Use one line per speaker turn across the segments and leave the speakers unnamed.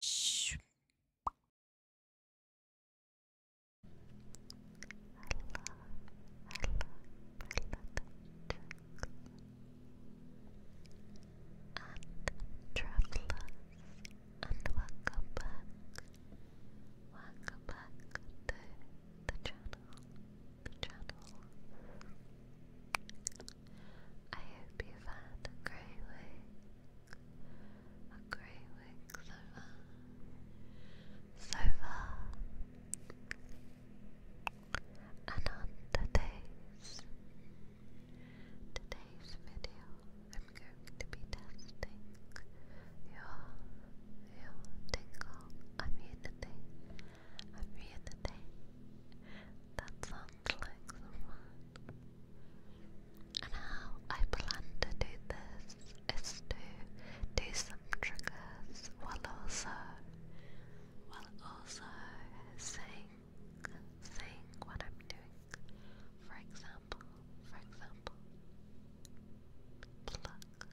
Shh. Hello, hello, and travelers, and welcome back, welcome back to the channel, the channel. I hope you've had a great week. A great week so far. So far. today's video I'm going to be testing your your tingle immunity. Immunity. That sounds and how I plan to do this is to do some triggers while also while also saying saying what I'm doing. For example, for example, pluck, pluck,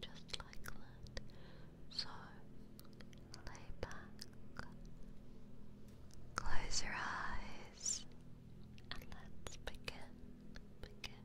just like that. So, lay back, close your eyes, and let's begin. Begin.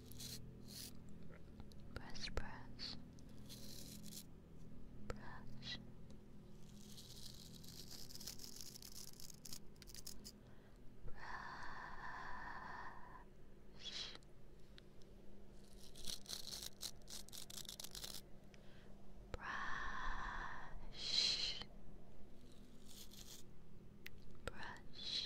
Press, press. Brush. Brush. Brush. Brush. Brush.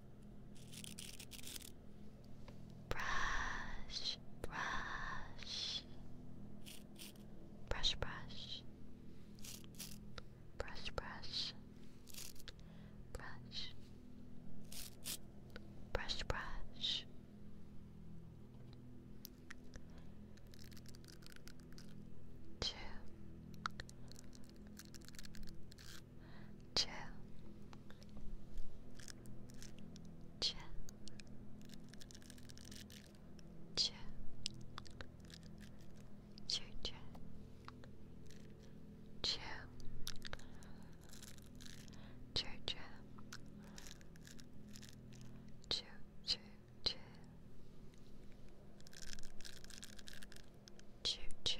Brush, brush, brush, brush, brush, brush, brush, brush, brush. Two chill, chill, chill, chill, chill, chill, chill, chill, chill, chill, chill. Choo choo,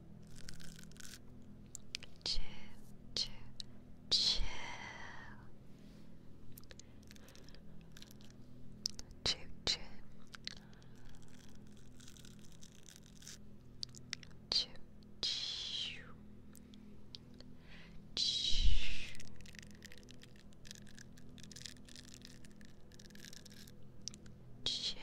Chill, chill, chill. Chill, chill. Chill, chill. Chill. Chill.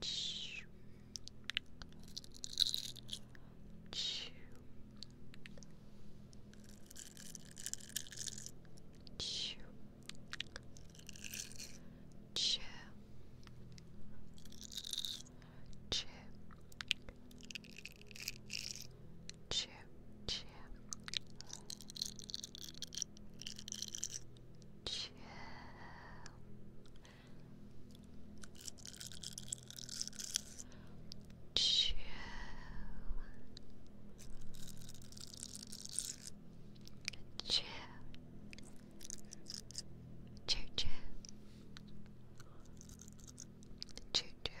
Chew. Chew. Chew. Chew. Chew. Chip, chip. Chill. Chill. Chill. Chill, chill. Choo choo.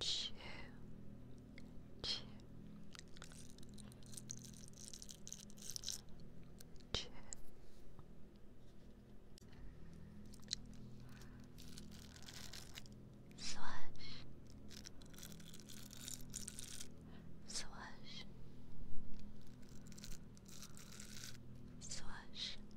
Chew. Chew. Chew. Swash. Swash. Swash.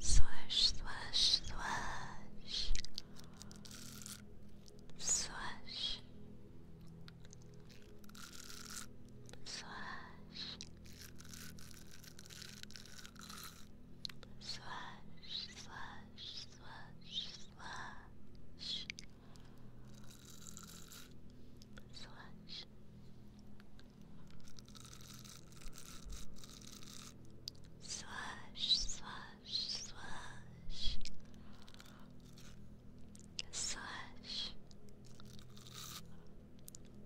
Swish, swish, swish. Swish. Swish. Swish, swish, swish, swish. Swish. Swish. Swash, swash, swash. Swash. Swash.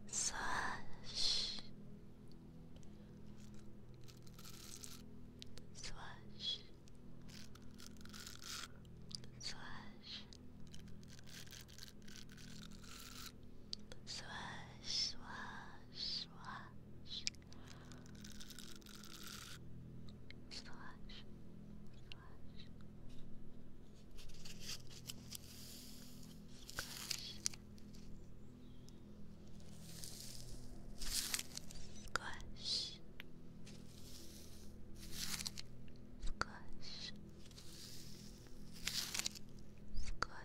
Swash. Swash, swash, swash. Swash, swash. Squash. Squash. Squash. Squash.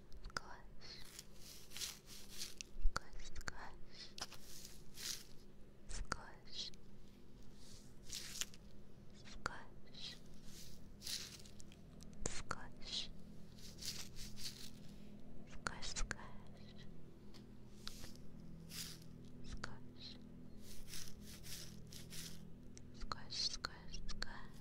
squash, squash, squash, squash, squash, squash, squash, squash. Squash Squash Squash Squash Squash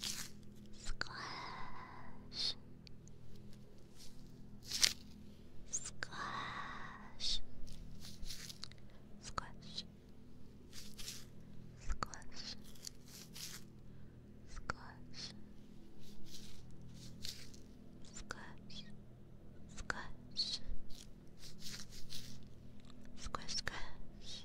Splash. Squash, squash, squash, squash, squash, squash, squash, squash,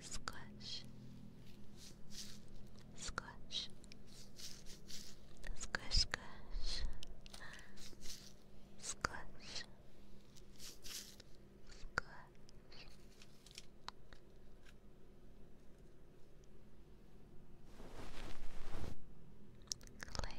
squash, squash, squash, squash, squash, squash. Clay,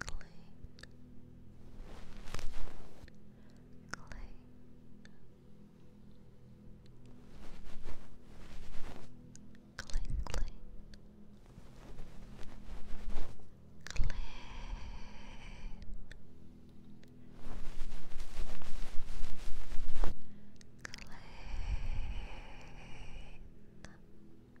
cling, cling. Cling, cling. Clean. Clean. Clean,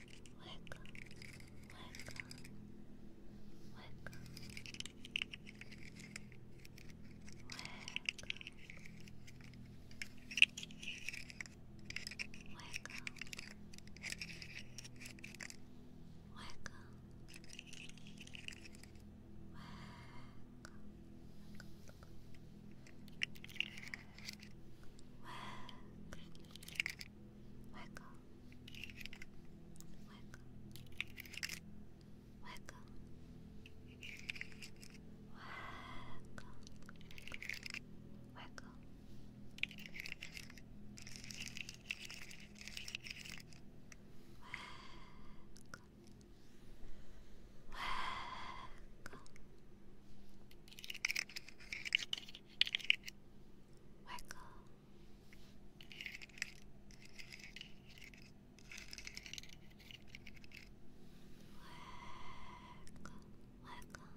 Wake up, wake up, wake up, wake up, wake wiggle, wiggle, wiggle, wiggle, wiggle. Wiggle. Wiggle. Wiggle. Wiggle. Wiggle. Wiggle, wiggle. Wiggle, wiggle. Wiggle,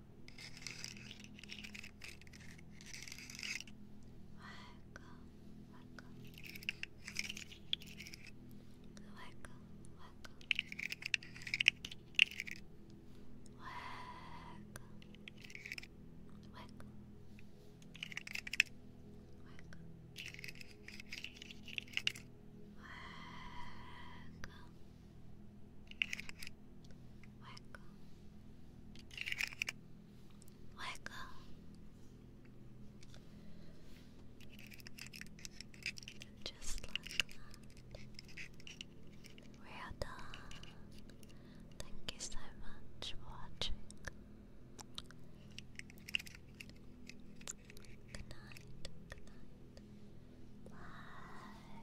Wake where go? Just like We are done. Thank you so much for watching. Good night. Good night. Bye.